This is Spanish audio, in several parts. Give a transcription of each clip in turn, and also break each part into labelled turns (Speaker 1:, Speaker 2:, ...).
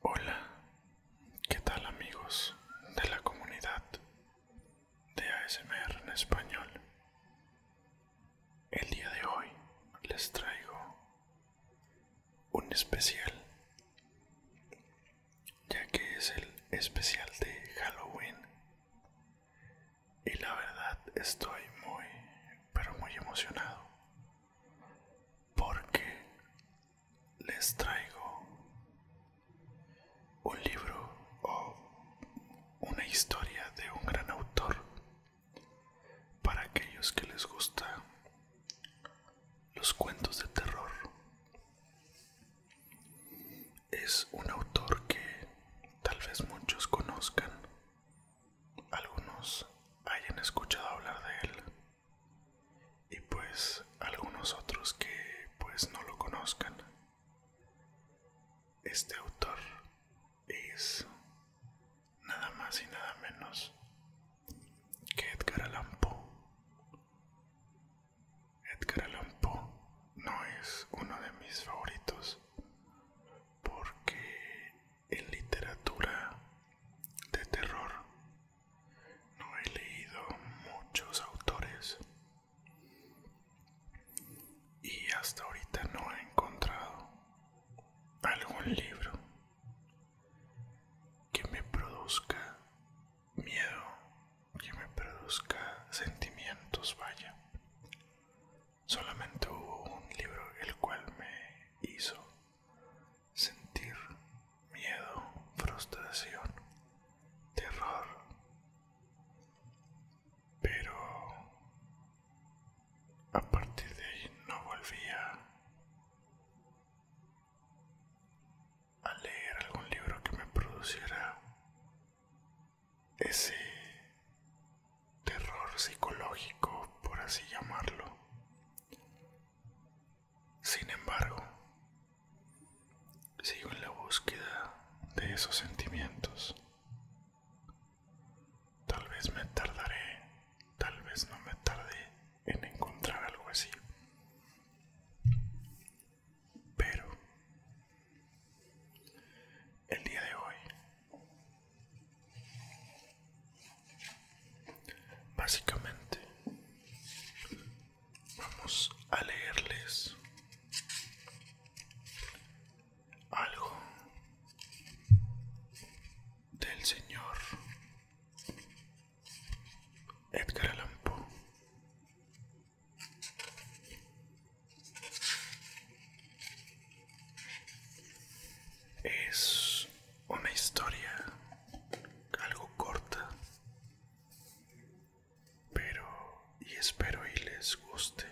Speaker 1: Hola, ¿qué tal amigos de la comunidad de ASMR en español? El día de hoy les traigo un especial, ya que es el especial de Halloween y la verdad estoy muy, pero muy emocionado. Porque les traigo un libro o una historia de un gran autor para aquellos que les gustan los cuentos de terror es un autor que tal vez muchos conozcan, algunos hayan escuchado hablar de él y pues algunos otros que pues no lo conozcan. Este autor es nada más y nada menos que Edgar Allan Poe. Edgar Allan Poe no es uno de mis favoritos porque en literatura de terror no he leído muchos autores y hasta ahorita no he encontrado algún libro que me produzca miedo que me produzca sentimientos, vaya. Solamente hubo un libro el cual me hizo sentir miedo, frustración, terror. Pero a partir de ahí no volvía a leer algún libro que me produciera ese terror psicológico, por así llamarlo. Sin embargo, sigo en la búsqueda de esos sentimientos. Tal vez me tardaré, tal vez no me tarde en encontrar algo así. Pero el día de hoy, básicamente, vamos a leerles algo del Señor Edgar Allan Es una historia algo corta, pero y espero y les guste.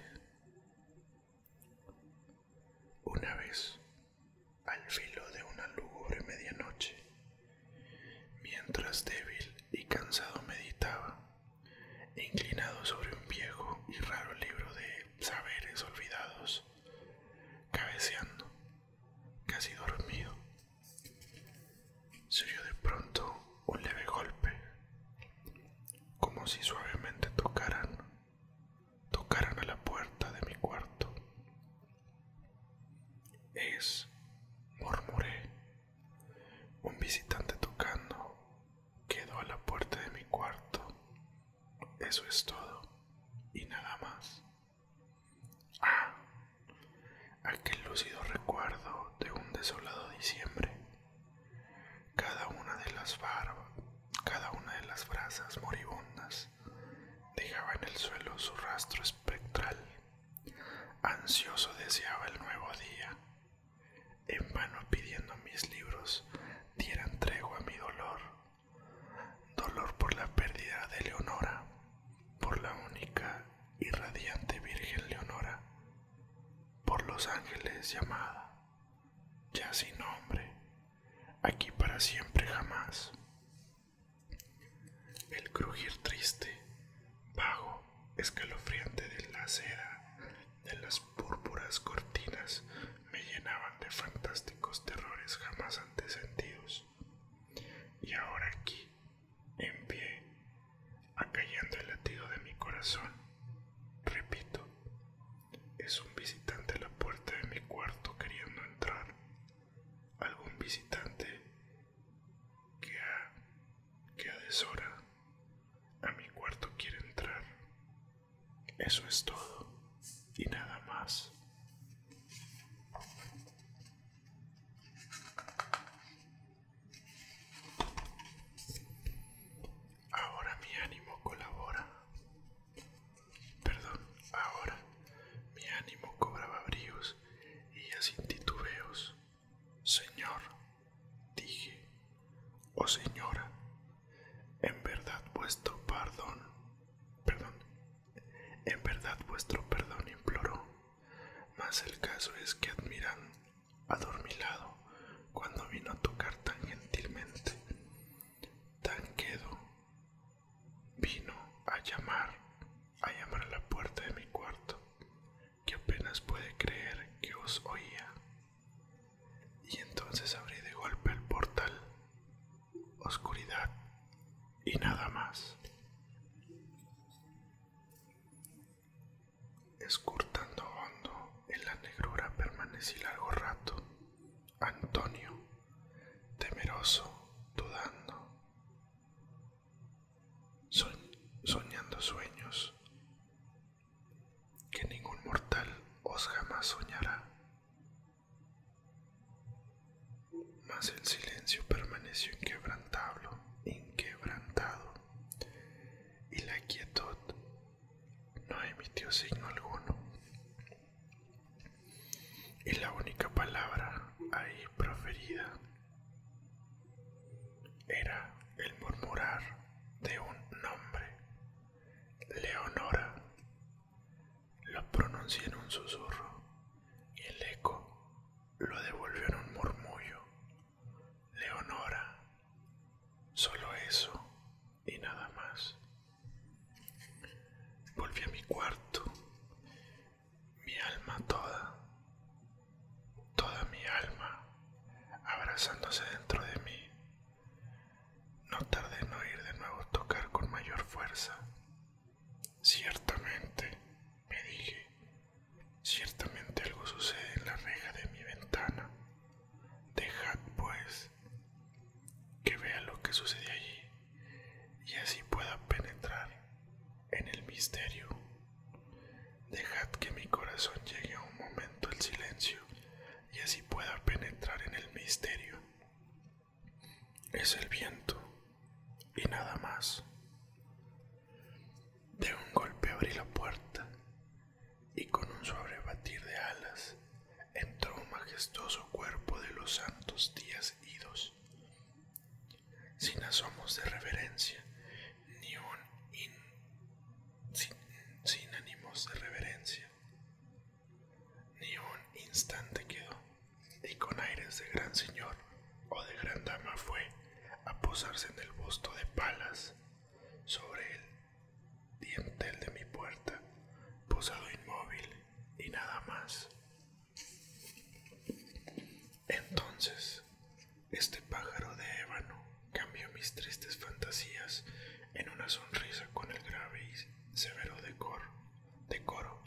Speaker 1: Una vez, al filo de una lúgubre medianoche, mientras débil y cansado meditaba, inclinado sobre un viejo y raro libro de saberes olvidados, cabeceando, casi dormido. Se oyó de pronto un leve golpe, como si suavemente tocaran, tocaran a la puerta de mi cuarto. Es, murmuré, un visitante tocando. Quedó a la puerta de mi cuarto. Eso es todo. Y nada más. Ah, aquel lúcido recuerdo de un desolado diciembre. Cada una de las barbas, cada una de las brasas moribundas dejaba en el suelo su rastro espectral. Ansioso deseaba el nuevo día, en vano pidiendo mis libros dieran tregua a mi dolor, dolor por la pérdida de Leonora, por la única y radiante Virgen Leonora, por los ángeles llamada, ya sin nombre, aquí para siempre jamás. El crujir triste, vago, escalofriante de la seda, de las púrpuras cortinas, me llenaban de fantásticos terrores jamás antes sentidos. Y ahora aquí, en pie, acallando el latido de mi corazón, repito, es un visitante a la puerta de mi cuarto queriendo entrar, algún visitante que a, que a deshora a mi cuarto quiere entrar. Eso es todo y nada más. Ahora mi ánimo colabora. Perdón, ahora mi ánimo cobraba bríos y ya sin Señor, dije, o oh señora, en verdad vuestro perdón, perdón, en verdad vuestro perdón imploró, mas el caso es que admiran adormilado cuando vino a tocar tan gentilmente, tan quedo, Vino a llamar, a llamar a la puerta de mi cuarto, que apenas puede creer que os oía. Y entonces abrí de golpe el portal. Oscuridad y nada más. Escurtando hondo en la negrura permanecí largo rato. Antonio temeroso, dudando, soñando sueños que ningún mortal os jamás soñará. Mas el silencio permaneció inquebrantable, inquebrantado, y la quietud no emitió signo alguno. Y la única palabra ahí proferida. Era el murmurar de un nombre, Leonora. Lo pronunció en un susurro y el eco lo devolvió en un murmullo. Leonora, solo eso y nada más. Volví a mi cuarto, mi alma toda, toda mi alma abrazándose dentro de mí. No tardé en oír de nuevo tocar con mayor fuerza. Ciertamente, me dije, ciertamente algo sucede en la reja de mi ventana. Dejad, pues, que vea lo que sucede allí y así pueda penetrar en el misterio. Dejad que mi corazón llegue a un momento el silencio y así pueda penetrar en el misterio. Es el viento y nada más. De un golpe abrí la puerta y con un suave batir de alas entró un majestuoso cuerpo de los santos días idos, sin asomos de reverencia, ni un sin, ánimos de reverencia, ni un instante quedó, y con aires de gran señor o de gran dama fue a posarse en el busto de palas sobre el dientel de mi puerta, posado inmóvil y nada más. Entonces, este pájaro de ébano cambió mis tristes fantasías en una sonrisa con el grave y severo decoro,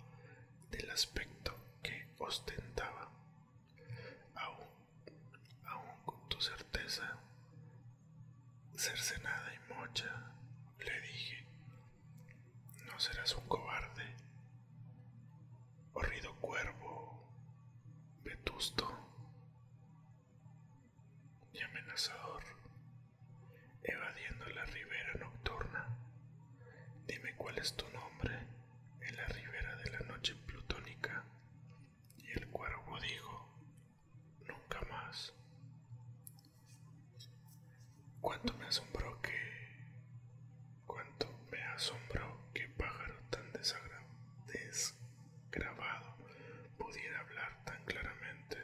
Speaker 1: del aspecto que ostentaba. Aún, aún con tu certeza cercenada y mocha, le dije, no serás un cobarde, horrido cuervo, vetusto y amenazador, evadiendo la ribera nocturna. Dime cuál es tu nombre en la ribera de la noche plutónica. Y el cuervo dijo, nunca más. Cuánto me asombró que... me asombró que pájaro tan desagrado, desgrabado pudiera hablar tan claramente,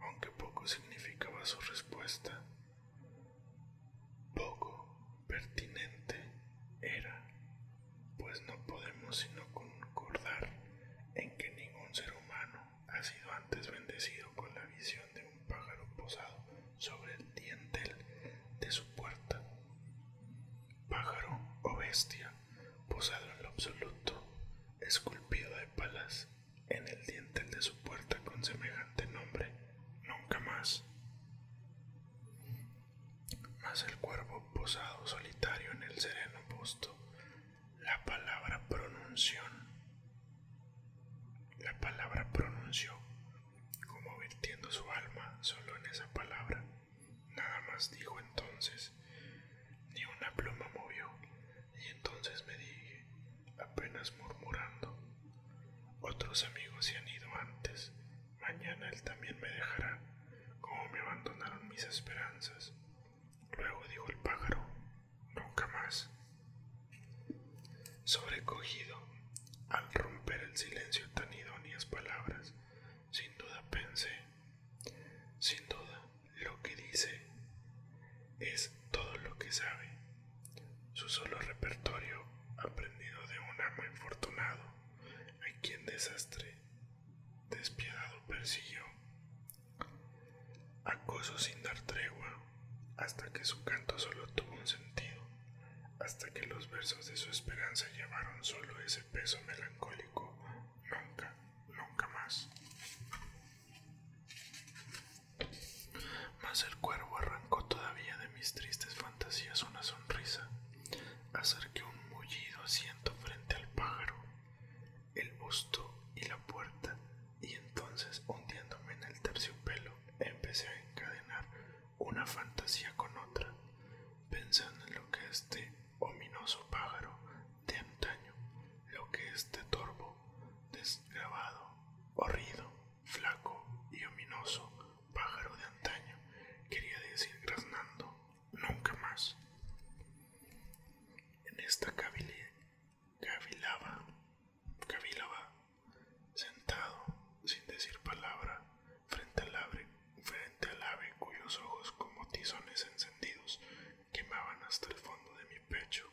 Speaker 1: aunque poco significaba su respuesta. Poco pertinente era, pues no podemos sino concordar en que ningún ser humano ha sido antes bendecido con la visión de un pájaro posado sobre el dientel de su puerta. Pájaro o bestia posado en lo absoluto, esculpido de palas en el dientel de su puerta con semejante nombre, nunca más. más el cuervo posado solitario en el sereno posto la palabra pronunció. La palabra pronunció, como vertiendo su alma solo en esa palabra. Nada más dijo entonces, ni una pluma movió, y entonces me dije, apenas murmurando, otros amigos se han ido antes, mañana él también me dejará, como me abandonaron mis esperanzas. Luego dijo el pájaro, nunca más. Sobrecogido, al romper el silencio tan idóneas palabras, sin duda pensé, sin duda lo que dice es todo lo que sabe, su solo repertorio aprendido de un amo infortunado, a quien desastre despiadado persiguió. Acoso sin dar tregua, hasta que su canto solo tuvo un sentido, hasta que los versos de su esperanza llevaron solo ese peso melancólico, nunca, nunca más. Mas el cuervo arrancó todavía de mis tristes fantasías una sonrisa, acerqué un mullido asiento frente al pájaro, el busto y la puerta, y entonces hundiéndome en el terciopelo, empecé a encadenar una fantasía con otra, pensando en lo que este ominoso pájaro de antaño, lo que este torvo, desgrabado, horrido, flaco y ominoso pájaro de antaño quería decir graznando nunca más. En esta cavilaba, cavilaba, sentado, sin decir palabra, frente al, frente al ave cuyos ojos como tizones encendidos quemaban hasta el fondo de mi pecho.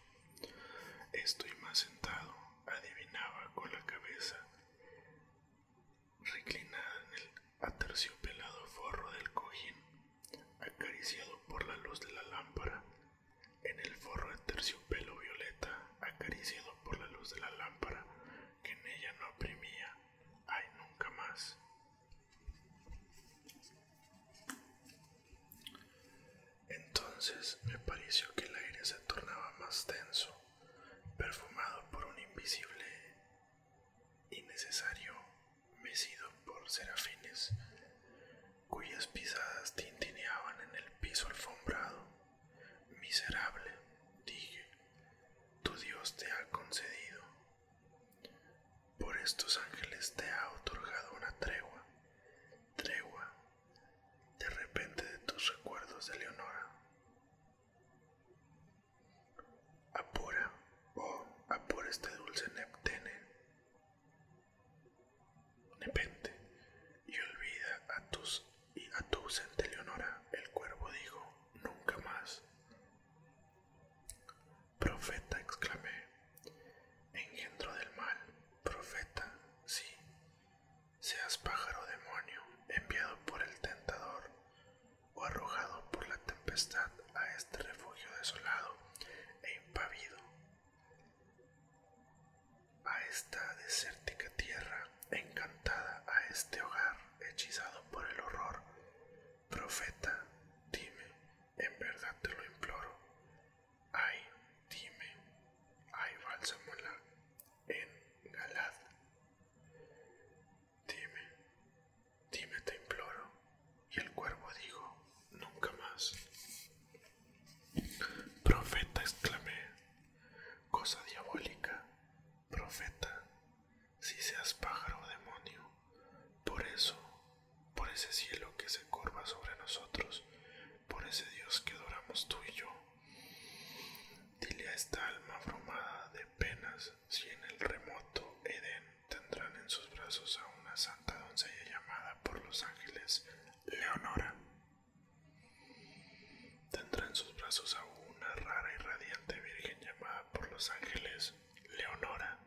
Speaker 1: Estoy más sentado, adivinaba con la cabeza reclinada en el aterciopelado forro del cojín acariciado por la luz de la lámpara, en el forro de terciopelo violeta, acariciado por la luz de la lámpara, que en ella no oprimía, ay nunca más. Entonces me pareció que el aire se tornaba más denso, perfumado por un invisible innecesario mecido por serafines, cuyas pisadas tintineaban en el piso alfombrado. Miserable, dije, tu Dios te ha concedido. Por estos ángeles te ha otorgado una tregua, tregua, de repente de tus recuerdos de Leonora. Apura, oh, apura este dulce Neptene. Nepente, y olvida a tus y a tu ausente Leonora, el cuervo dijo, nunca más. Profeta, exclamé, engendro del mal, profeta, sí, seas pájaro demonio, enviado por el tentador, o arrojado por la tempestad a este refugio desolado e impavido, a esta desértica tierra encantada, a este hogar hechizado por el horror. Profeta, dime, en verdad te lo imploro. Ay, dime, ay, bálsamo en Galad. Dime, Dime, te imploro. Y el cuervo dijo, nunca más. Profeta, exclamé, cosa diabólica, profeta, si seas pájaro o demonio, por eso, por ese cielo que se curva sobre nosotros, por ese Dios que adoramos tú y yo, dile a esta alma abrumada de penas si en el remoto Edén tendrán en sus brazos a una santa doncella llamada por los ángeles Leonora. Tendrá en sus brazos a una rara y radiante virgen llamada por los ángeles Leonora.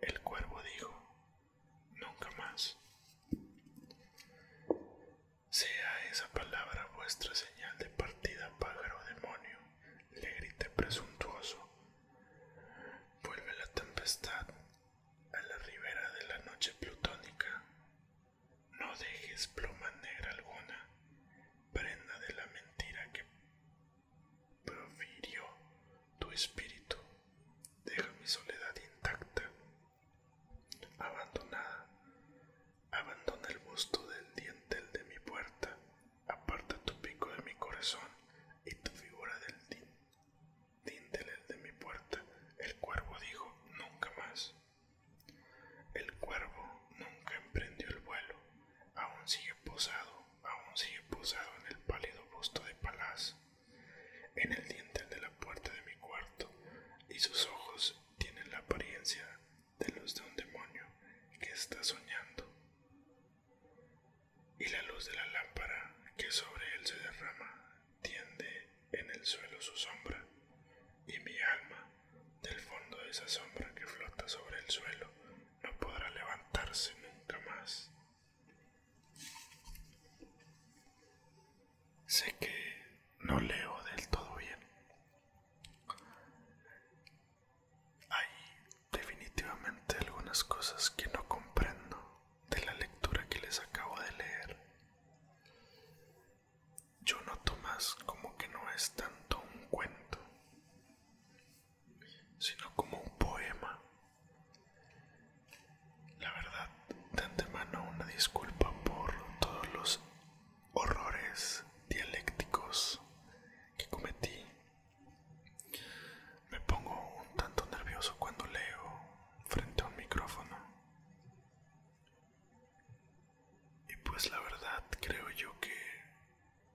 Speaker 1: El cuervo dijo, nunca más. Sea esa palabra vuestra señal de partida, pájaro demonio, le grite presuntuoso. Vuelve la tempestad a la ribera de la noche plutónica. No dejes pluma negra alguna, prenda de la mentira que profirió tu espíritu. Deja mi soledad intacta, abandonada. Abandona el busto del dientel de mi puerta aparta tu pico de mi corazón y tu figura del dintel de mi puerta. El cuervo dijo, nunca más. El cuervo nunca emprendió el vuelo, aún sigue posado, aún sigue posado en el pálido busto de Palaz, en el dintel de la puerta de mi cuarto, y sus ojos tienen la apariencia de luz de un demonio que está soñando, y la luz de la lámpara que sobre él se derrama tiende en el suelo su sombra, y mi alma, del fondo de esa sombra que flota sobre el suelo, no podrá levantarse nunca más. Sé que no leo del todo bien. Hay definitivamente algunas cosas que no comprendo de la lectura que les acabo de leer. Yo noto más como que no es tanto un cuento, sino como un poema. La verdad, de antemano una disculpa por todos los horrores dialécticos que cometí. Me pongo un tanto nervioso cuando leo frente a un micrófono. Y pues la verdad creo yo que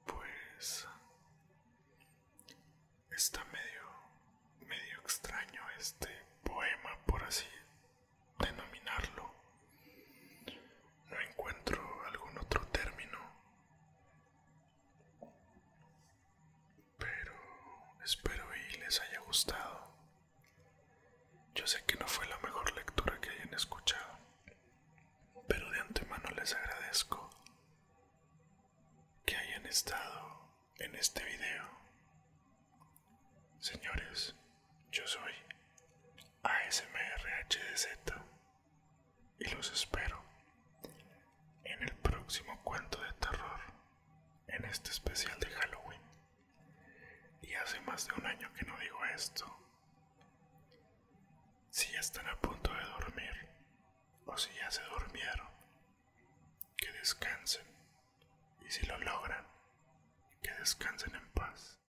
Speaker 1: pues está medio medio extraño este poema por así denominarlo no encuentro algún otro término, pero espero y les haya gustado. Yo sé que no fue la mejor lectura que hayan escuchado, pero de antemano les agradezco que hayan estado en este video. Señores, yo soy ASMRHDZ y los espero en el próximo cuento de terror en este especial de Halloween. Y hace más de un año que no digo esto. Si ya están a punto de dormir o si ya se durmieron, que descansen y si lo logran, que descansen en paz.